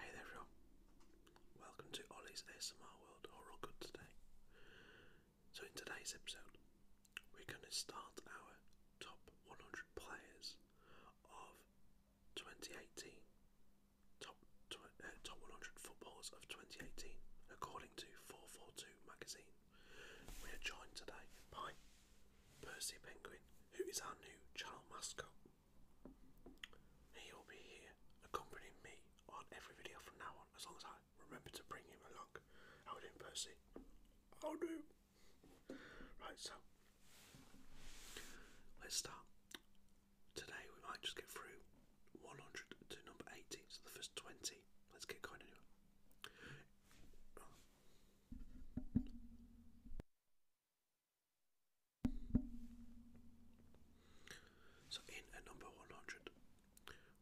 Hey there everyone, welcome to Ollie's ASMR World All Good Today. So in today's episode we're going to start our top 100 players of 2018, top, uh, top 100 footballers of 2018 according to 442 magazine. We are joined today by Percy Penguin, who is our new channel mascot. He will be here accompanying me on every video from now on, as long as I remember to bring him along. How do you, Percy? How do? Right, so let's start. Today we might just get through 100 to number 80, so the first 20. Let's get going so, in at number 100,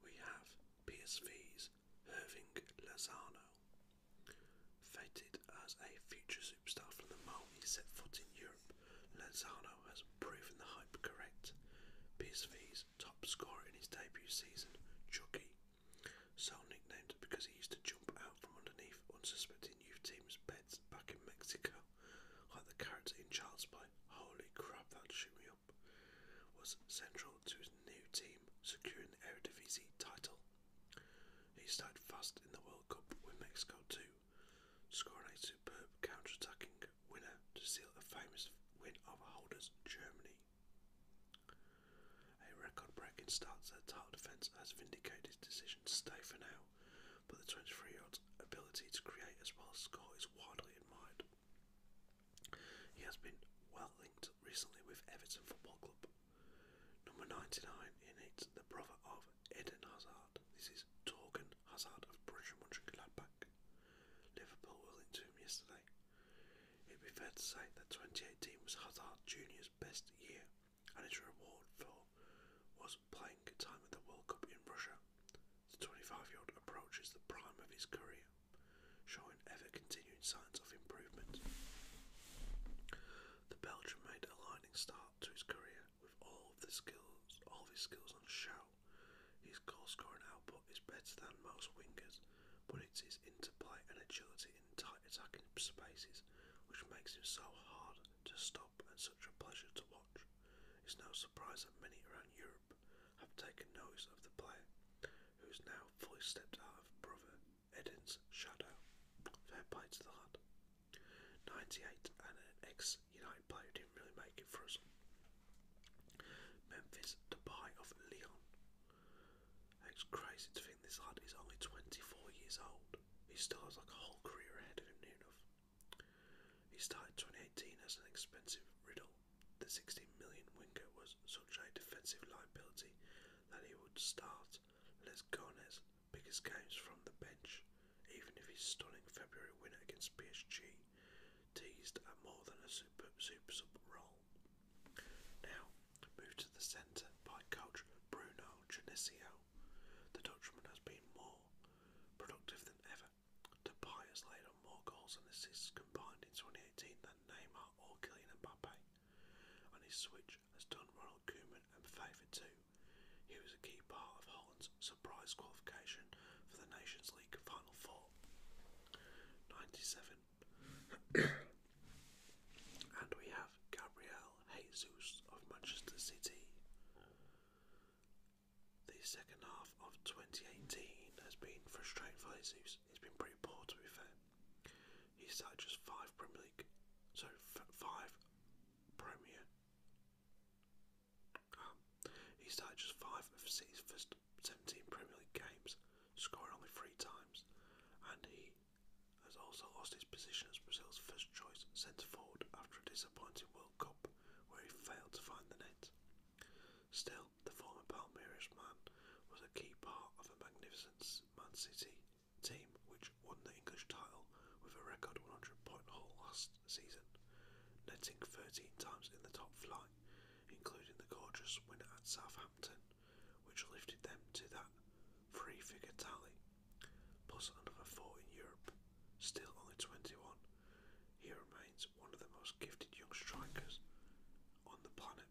we have PSV's Irving Lozano. Fated as a future superstar from the moment he set foot in Europe, Lozano has proven the hype correct. PSV's top scorer in his debut season, Chucky Sal nicknamed because he used to jump out from underneath unsuspecting youth teams' beds back in Mexico, like the character in Child's Play. Holy crap, that shoot me up! Was central to his new team securing the Eredivisie title. He started fast in the World Cup with Mexico too, scoring a superb counter-attacking winner to seal a famous win over holders Germany. A record breaking start to the title defence has vindicated his decision to stay for now, but the 23 year old's ability to create as well as score is widely admired. He has been well linked recently with Everton Football Club. Number 99 in it, the brother of Eden Hazard. This is Torgan Hazard of Borussia Mönchengladbach. Liverpool were linked to yesterday. It would be fair to say that 2018 was Hazard Jr.'s best year, and his reward for was playing time at the World Cup in Russia. The 25-year-old approaches the prime of his career, showing ever-continuing signs of improvement. The Belgian made a lightning start to his career with all of the skills, all of his skills on show. His goal scoring output is better than most wingers, but it's his his interplay and agility in tight attacking spaces, which makes him so hard to stop and such a pleasure to watch. It's no surprise that many around Europe have taken notice of the player, who's now fully stepped out of brother Edin's shadow. Fair to the lad. 98 and an ex United player didn't really make it for us. Memphis Depay of Lyon it's crazy to think this lad is only 24 years old. He still has like a whole career ahead of him enough. He started 2018 as an expensive riddle. The 16 million winger was such a defensive liability that he would start Les Gones' biggest games from the bench, even if his stunning February win against PSG teased at more than a super, super sub role. Now, moved to the centre by coach Bruno Genesio, the Dutchman has been more productive than ever. Depay has laid more goals and assists combined in 2018 than Neymar or Kylian Mbappe, and his switch has done Ronald Koeman and favour too. He was a key part of Holland's surprise qualification for the Nations League Final Four. 97 and we have Gabriel Jesus of Manchester City. The second half of 2018 has been frustrating for Jesus. He's been pretty poor, to be fair. He's had just five Premier League, so five Premier. Um, he's had just five of City's first 17 Premier League games scoring only three times, and he has also lost his position as Brazil's first choice centre forward after a disappointing World Cup where he failed to find the net. Still, the former Palmeiras man was a key part of a magnificent Man City team which won the English title with a record 100 point haul last season, netting 13 times in the top flight, including the gorgeous winner at Southampton which lifted them to that three figure tally, plus another four in Europe. Still only 21, he remains one of the most gifted young strikers on the planet.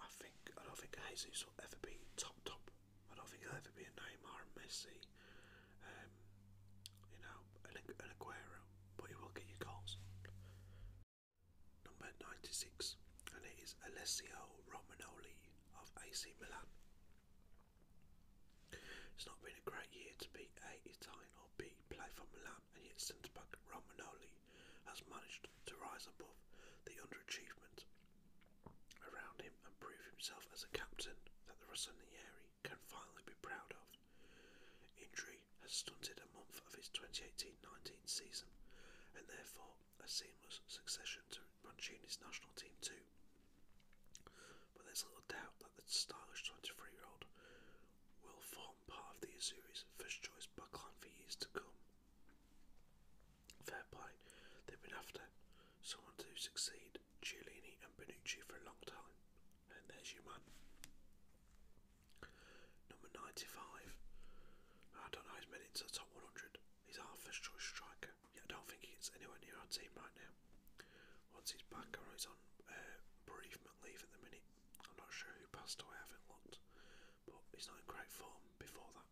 I think I don't think Jesus will ever be top top. I don't think he'll ever be a Neymar, Messi, um, you know, an, Aguero, but he will get you goals. Number 96, and it is Alessio Romanoli of AC Milan. It's not been a great year to be A, Italian or be play for Milan, and yet centre back Romanoli has managed to rise above the underachievement around him and prove himself as a captain that the Rossoneri can finally be proud of. Injury has stunted a month of his 2018-19 season and therefore a seamless succession to Mancini's national team too. But there's little doubt that the stylish 23-year-old will form part of the Azuri's first choice backline for years to come. Fair play, they've been after someone to succeed Giulini and Benucci for a long time, and there's you, man. Number 95. I don't know he's made it to the top 100. He's our first choice striker. Yeah, I don't think he gets anywhere near our team right now. Once he's back or he's on uh, bereavement leave at the minute. I'm not sure who passed away, I haven't looked. But he's not in great form before that.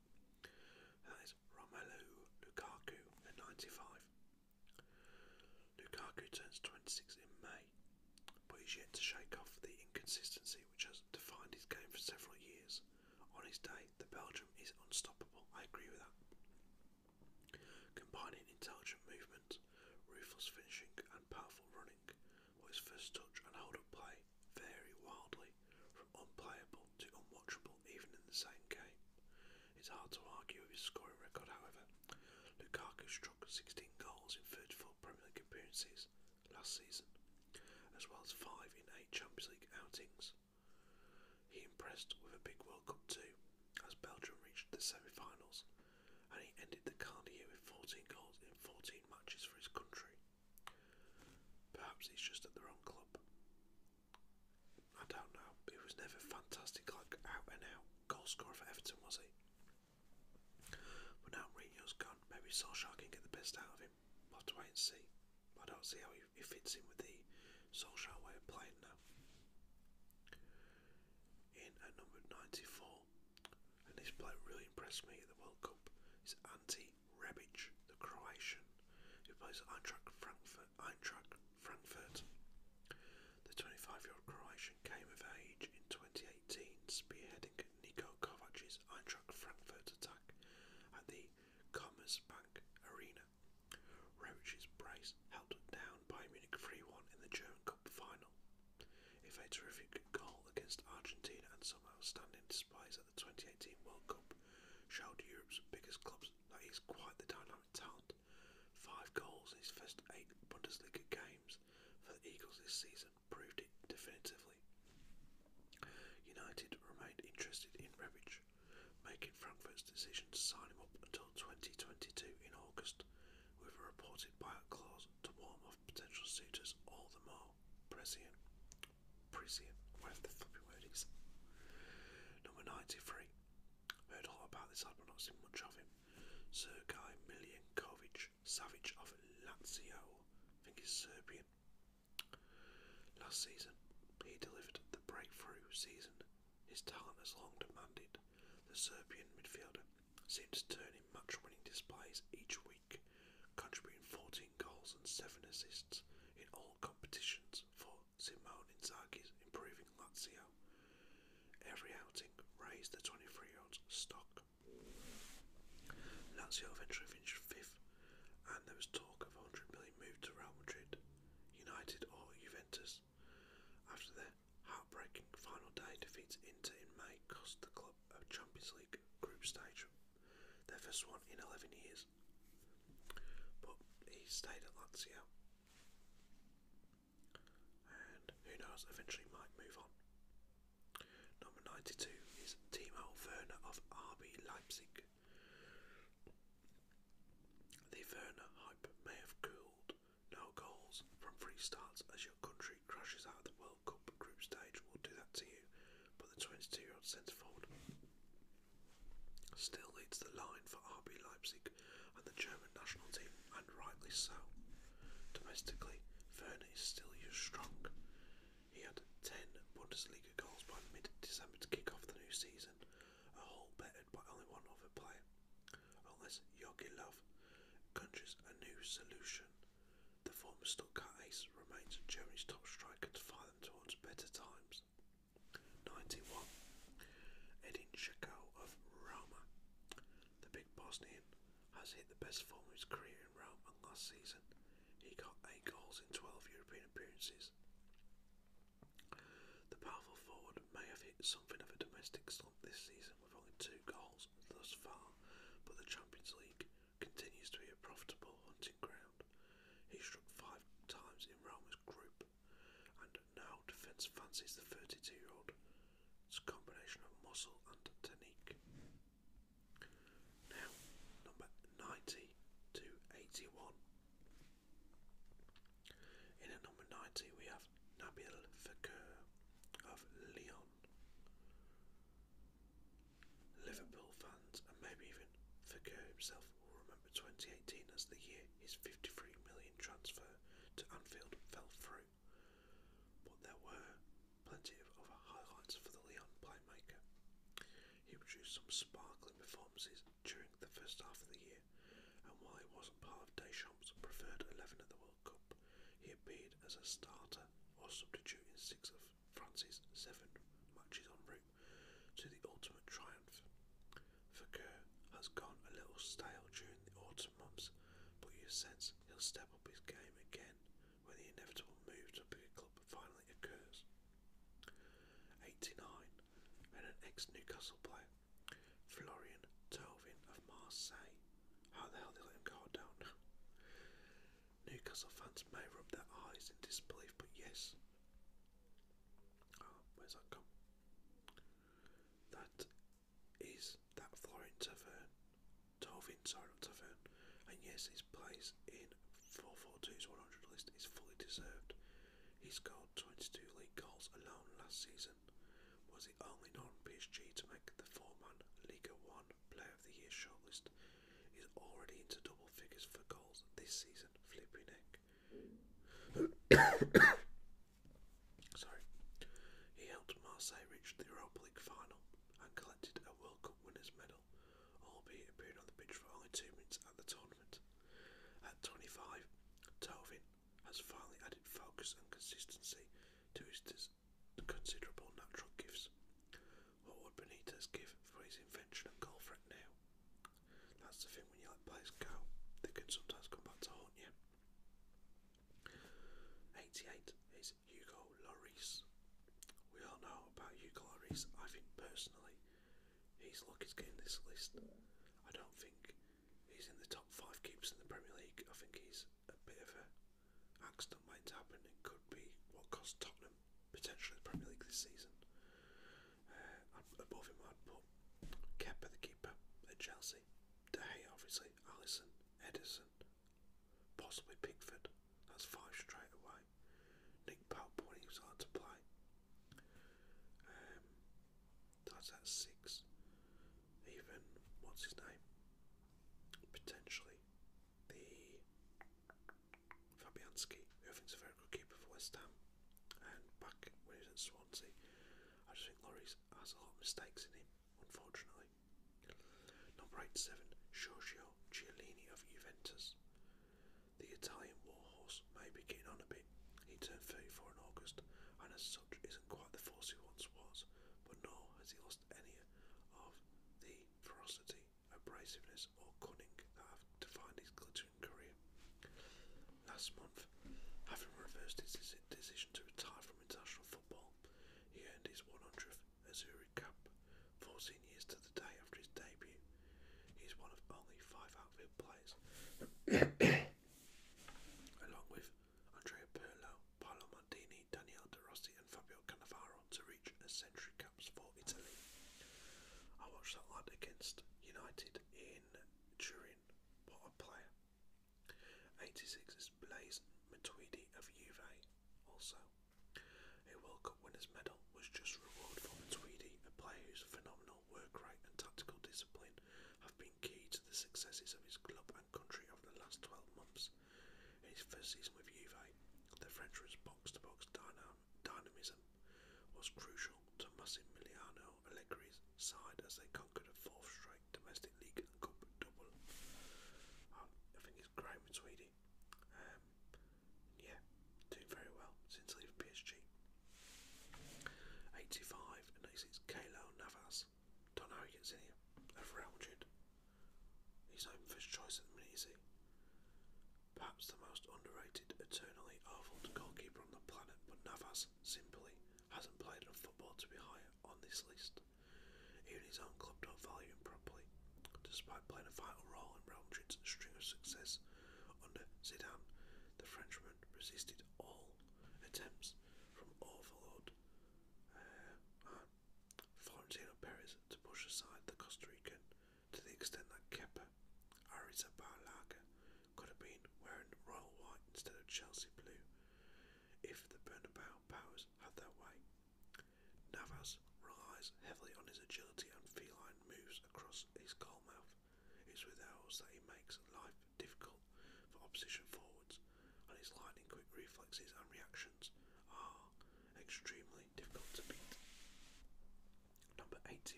that is Romelu Lukaku at 95. Lukaku turns 26 in May but he's yet to shake off the inconsistency which has defined his game for several years. On his day, the Belgium is unstoppable. I agree with that. Combining intelligent movement, ruthless finishing, and powerful running, while his first touch and hold up play vary wildly from unplayable to unwatchable even in the same game. It's hard to argue with his scoring record, however. Lukaku struck 16 goals in 34 24 Premier League appearances last season, as well as 5 in 8 Champions League outings. He impressed with a big World Cup too, as Belgium reached the semi finals, and he ended the calendar year with 14 goals in 14 matches for his country. Perhaps he's just at the wrong club. I don't know. He was never fantastic, like out and out goalscorer for Everton, was he? But now Mourinho's gone, maybe Solskjaer can get the best out of him. we have to wait and see. I don't see how he, fits in with the Solskjaer way of playing now. In at number 94, and this player really impressed me at the World Cup, It's Ante Rebic, the Croatian, who plays at Eintracht Frankfurt. Eintracht Frankfurt. The 25 year old Croatian came of age in 2018, spearheading led Niko Kovac's Eintracht Frankfurt attack at the Commerzbank Arena. Roach's brace held down by Munich 3 1 in the German Cup final. If a terrific goal against Argentina and some outstanding displays at the 2018 World Cup showed Europe's biggest clubs that he's quite the dynamic talent. Five goals in his first eight Bundesliga games for the Eagles this season proved it definitively. United remained interested in Rebic, making Frankfurt's decision to sign him up until 2022 in August, with a reported buyout clause to warm off potential suitors all the more. Prescient. Prescient. Whatever the flipping word is. Number 93. Heard a lot about this but not seen much of him. Sergei Milinkovic Savage of Lazio, I think he's Serbian. Last season, he delivered the breakthrough season his talent has long demanded. The Serbian midfielder seemed to turn in much winning displays each week, contributing 14 goals and 7 assists in all competitions for Simone Inzaghi's improving Lazio. Every outing raised the 23-year-old's stock Lazio eventually finished fifth, and there was talk of 100 million moved to Real Madrid, United, or Juventus. After their heartbreaking final day defeat Inter in May cost the club a Champions League group stage, their first one in 11 years. But he stayed at Lazio, and who knows, eventually might move on. Number 92 is Timo Werner of RB Leipzig. The Werner hype may have cooled. No goals from free starts as your country crashes out of the World Cup group stage will do that to you, but the 22 year old centre forward still leads the line for RB Leipzig and the German national team rightly so. Domestically, Werner is still used strong. He had 10 Bundesliga goals by mid December to kick off the new season, a whole bettered by only one other player. Unless Yogi Love conjures a new solution, the former Stuttgart ace remains Germany's top striker to fire them towards better times. 91. Edin Dzeko of Roma. The big Bosnian has hit the best form of his career in Rome, last season he got 8 goals in 12 European appearances. The powerful forward may have hit something of a domestic slump this season with only 2 goals thus far, but the Champions League continues to be a profitable hunting ground. He struck 5 times in Roma's group, and now defence fancies the 32 year old. It's a combination of muscle and technique. Now, number 90 to 81. In at number 90, we have Nabil Fakir of Lyon. Liverpool fans, and maybe even Fakir himself, will remember 2018 as the year his 53 million transfer to Anfield fell through. But there were plenty of other highlights for the Leon playmaker. He produced some sparkling performances during the first half of the year, and while he wasn't part of Deschamps' preferred 11 at the World Cup, he appeared as a starter or substitute in six of France's seven matches en route to the ultimate triumph. Fakir has gone a little stale during the autumn months, but you sense he'll step up his game again when the inevitable move to a bigger club finally occurs. 89. And an ex-Newcastle player, Florian Tovin of Marseille. How the hell they let him go, Newcastle fans may rub their eyes in disbelief, but yes. Oh, where's that come? That is that Florent Tavern, 12 in and yes, his place in 442's 100 list is fully deserved. He scored 22 league goals alone last season, was the only non-PSG to make the four-man Liga 1 Player of the Year shortlist, He's already into double figures for goals this season, flipping neck. Sorry. He helped Marseille reach the Europa League final and collected a World Cup winners medal, albeit appeared on the pitch for only two minutes at the tournament. At 25, Tovin has finally added focus and consistency to his considerable natural gifts. What would Benitez give for his invention and goal threat now? That's the thing when you let players go, they can sometimes come back to haunt you. 88 is Hugo Lloris. We all know about Hugo Lloris. I think personally, he's lucky to get in this list. I don't think he's in the top five keeps in the Premier League. I think he's a bit of a accident waiting to happen. It could be what cost Tottenham potentially the Premier League this season. Uh, above him, I'd put Kepa the keeper at Chelsea, De Gea obviously, Allison, Edison, Possibly Pickford. That's five straight away. Nick Pope when he was hard to play. Um, that's at six. Even what's his name? Potentially the Fabianski, who think's a very good keeper for West Ham, and back when he was at Swansea, I just think Laurie's has a lot of mistakes in him unfortunately. Number 87, Giorgio Chiellini of Juventus. The Italian warhorse may be getting on a bit. He turned 34 in August, and as such isn't quite the force he once was, but nor has he lost any of the ferocity, abrasiveness, or cunning that have defined his glittering career. Last month, having reversed his decision to retire from international football, he earned his 100th Missouri Cup 14 years to the day after his debut. He's one of only five outfield players, along with Andrea Perlo, Paolo Maldini, Daniele De Rossi, and Fabio Cannavaro, to reach a century caps for Italy. I watched that lad against United in Turin. What a player! 86 is Blaise Matuidi of UVA, also. A World Cup winner's medal was just reward for Matuidi, a player whose phenomenal work rate and tactical discipline have been key to the successes of his club and country over the last 12 months. In his first season with UVA, the Frenchman's box-to-box dynam dynamism was crucial to Massimiliano Allegri's side as they conquered a fourth straight like domestic league and cup double. Um, I think it's Graham and Sweden. Um, yeah, doing very well since leaving PSG. 85 and 86 Kalo Navas. Don't know he gets in here. I've He's not first choice at the minute, Perhaps the most underrated, eternally awful goalkeeper on the planet, but Navas simply hasn't played enough football to be higher on this list. Even his own club don't value him properly. Despite playing a vital role in Real Madrid's string of success under Zidane, the Frenchman resisted all attempts from overlord uh, uh, Florentino Perez to push aside the Costa Rican to the extent that Kepa Arrizabalaga could have been wearing royal white instead of Chelsea blue if the Bernabeu powers had their way. Navas relies heavily on his agility and feline moves across his goalmouth. It's with those that he makes life difficult for opposition forwards, and his lightning quick reflexes and reactions are extremely difficult to beat. Number 84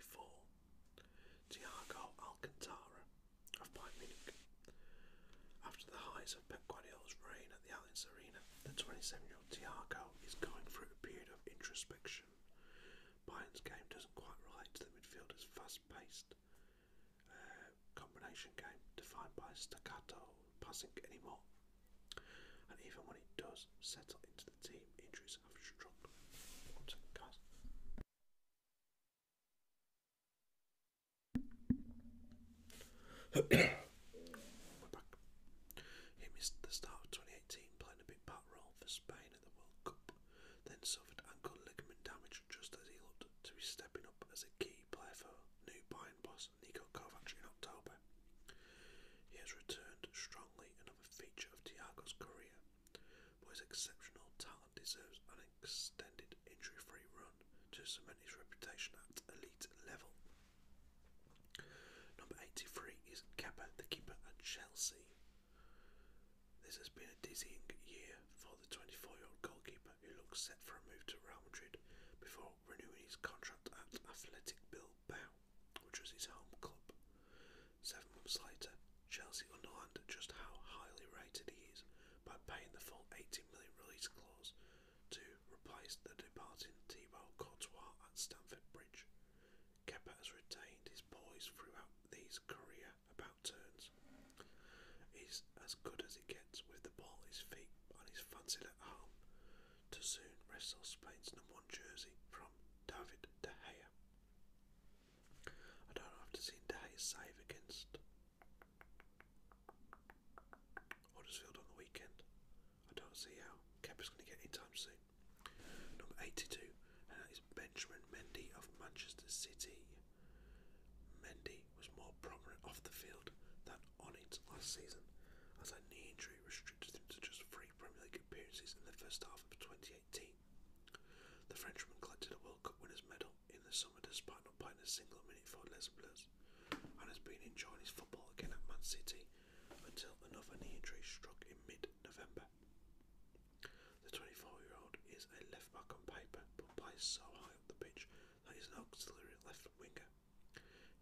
Tiago Alcantara of Bayern Munich. After the highs of Guardiola's reign at the Allianz Arena, the 27-year-old Thiago is going through a period of introspection. Bayern's game doesn't quite relate to the midfielder's fast-paced uh, combination game defined by staccato passing anymore. And even when it does settle into the team, injuries have struck. He missed the start of 2018 playing a big part role for Spain in the World Cup, then suffered ankle ligament damage just as he looked to be stepping up as a key player for new Bayern boss Nico Kovac in October. He has returned strongly, another feature of Thiago's career, but his exceptional talent deserves an extended injury-free run to cement his reputation at elite level. Number 83 is Kepa, the keeper at Chelsea. This has been a dizzying year for the 24-year-old goalkeeper who looks set for a move to Real Madrid before renewing his contract at Athletic Bilbao, which was his home club. Seven months later, Chelsea underlined just how highly rated he is by paying the full 80 million release clause to replace the departing Thibaut Courtois at Stamford Bridge. Keppa has retained his poise throughout these career about turns. He's as good as it gets with the ball at his feet and his fancy at home to soon wrestle Spain's number one jersey from David De Gea. I don't have to see De Gea's save against Huddersfield on the weekend. I don't see how Kepa's going to get time soon. Number 82, and Benjamin Mendy of Manchester City. Mendy was more prominent off the field than on it last season, as a knee injury restricted him to just three Premier League appearances in the first half of 2018. The Frenchman collected a World Cup winner's medal in the summer despite not playing a single minute for Les Blues and has been in Chinese football again at Man City until another knee injury struck in mid-November. The 24-year-old is a left-back on paper but plays so high up the pitch that he's an auxiliary left winger.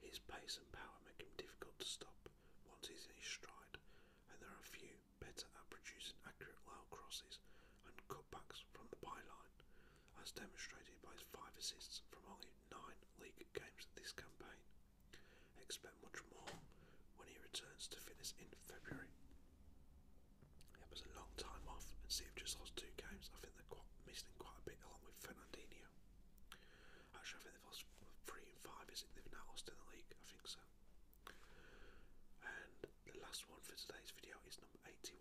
His pace and power make him difficult to stop once he's in his stride and there are few better at producing accurate low crosses and cutbacks from the byline, as demonstrated by his five assists from only nine league games this campaign. Expect much more when he returns to fitness in February. It was a long time off, and see if just lost two games. I think they're quite missing quite a bit, along with Fernandinho. Actually, I think they've lost three and five. Is it they've now lost in the league? I think so. And the last one for today's video is number 81,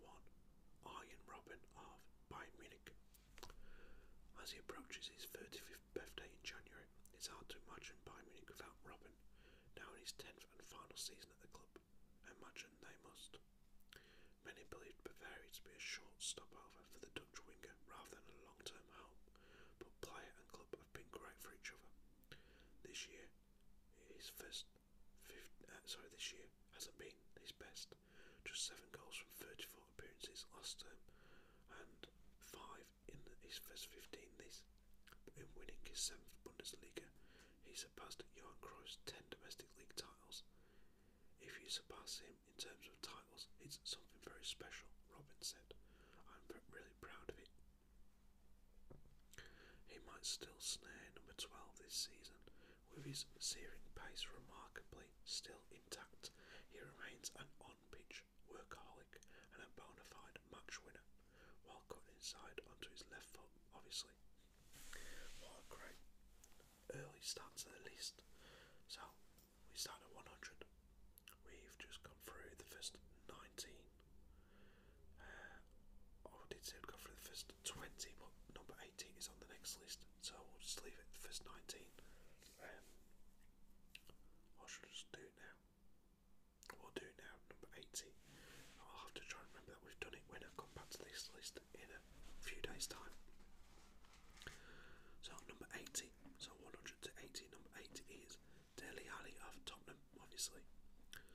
Iron Robin of Bayern Munich. As he approaches his 35th birthday in January, it's hard to imagine Bayern Munich without Robin, now in his 10th and final season at the club. Imagine they must. Many believed Bavaria to be a short stopover for the Dutch winger rather than a long term home, but player and club have been great for each other. This year, his first uh, sorry, this year hasn't been his best. Just seven goals from 34 appearances last term, and five in his first 15 this. In winning his seventh Bundesliga, he surpassed Johan Cruyff's 10 domestic league titles. If you surpass him in terms of titles, it's something very special, Robin said. I'm really proud of it. He might still snare number 12 this season, with his searing pace remarkably still intact, he remains an on-pitch workaholic and a bona fide match winner, while cutting inside onto his left foot, obviously. What a great early start to the list. So, we start at 100. We've just gone through the first 19. I uh, oh, did say go through the first 20, but number 18 is on the next list, so we'll just leave it first 19. Um, should just do it now? We'll do it now, number 80. I'll have to try and remember we've done it when I come back to this list in a few days' time. So, number 80, so 100 to 80, number 80 is Deli Alley of Tottenham, obviously.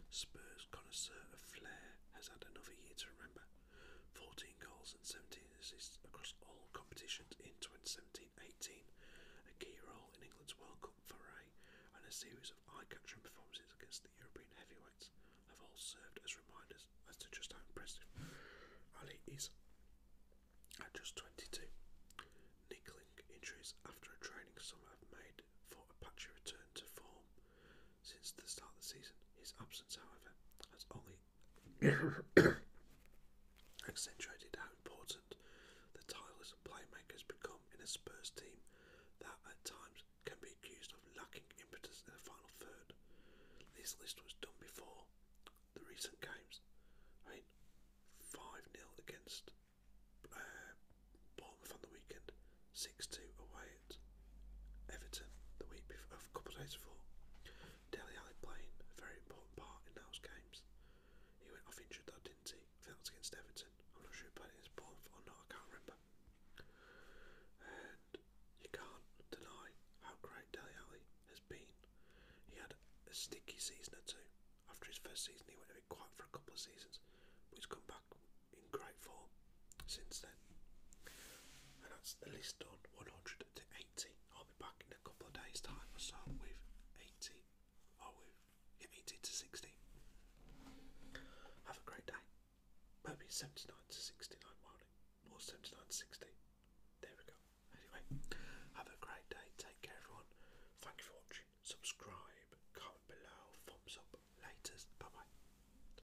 Spurs connoisseur of flair has had another year to remember 14 goals and 17 assists across all competitions in 2017-18, a key role in England's World Cup foray and a series of eye-catching performances against the European heavyweights have all served as reminders as to just how impressive Ali is at just 22. Nickling injuries after a training summer have made for a return to form since the start of the season. His absence, however, has only accentuated how important the tireless playmakers become in a Spurs team that at times can be accused of lacking impetus in the final third. This list was done before the recent games. 5 0 against uh, Bournemouth on the weekend, 6 2 away at Everton the week before, a couple of days before. Deli Ali playing a very important part in those games. He went off injured though, didn't he? I think that was against Everton. I'm not sure he played against Bournemouth or not, I can't remember. And you can't deny how great Deli Ali has been. He had a sticky season or two. After his first season, he went a bit quiet for a couple of seasons, but he's come back in great form since then. And that's the list done 100 to 80. I'll be back in a couple of days' time or so with 80 or oh, with 80 to 60. Have a great day. Maybe 79 to 69 morning 79 to 60. There we go. Anyway, have a great day. Take care, everyone. Thank you for watching. Subscribe, comment below, thumbs up, laters. Bye bye.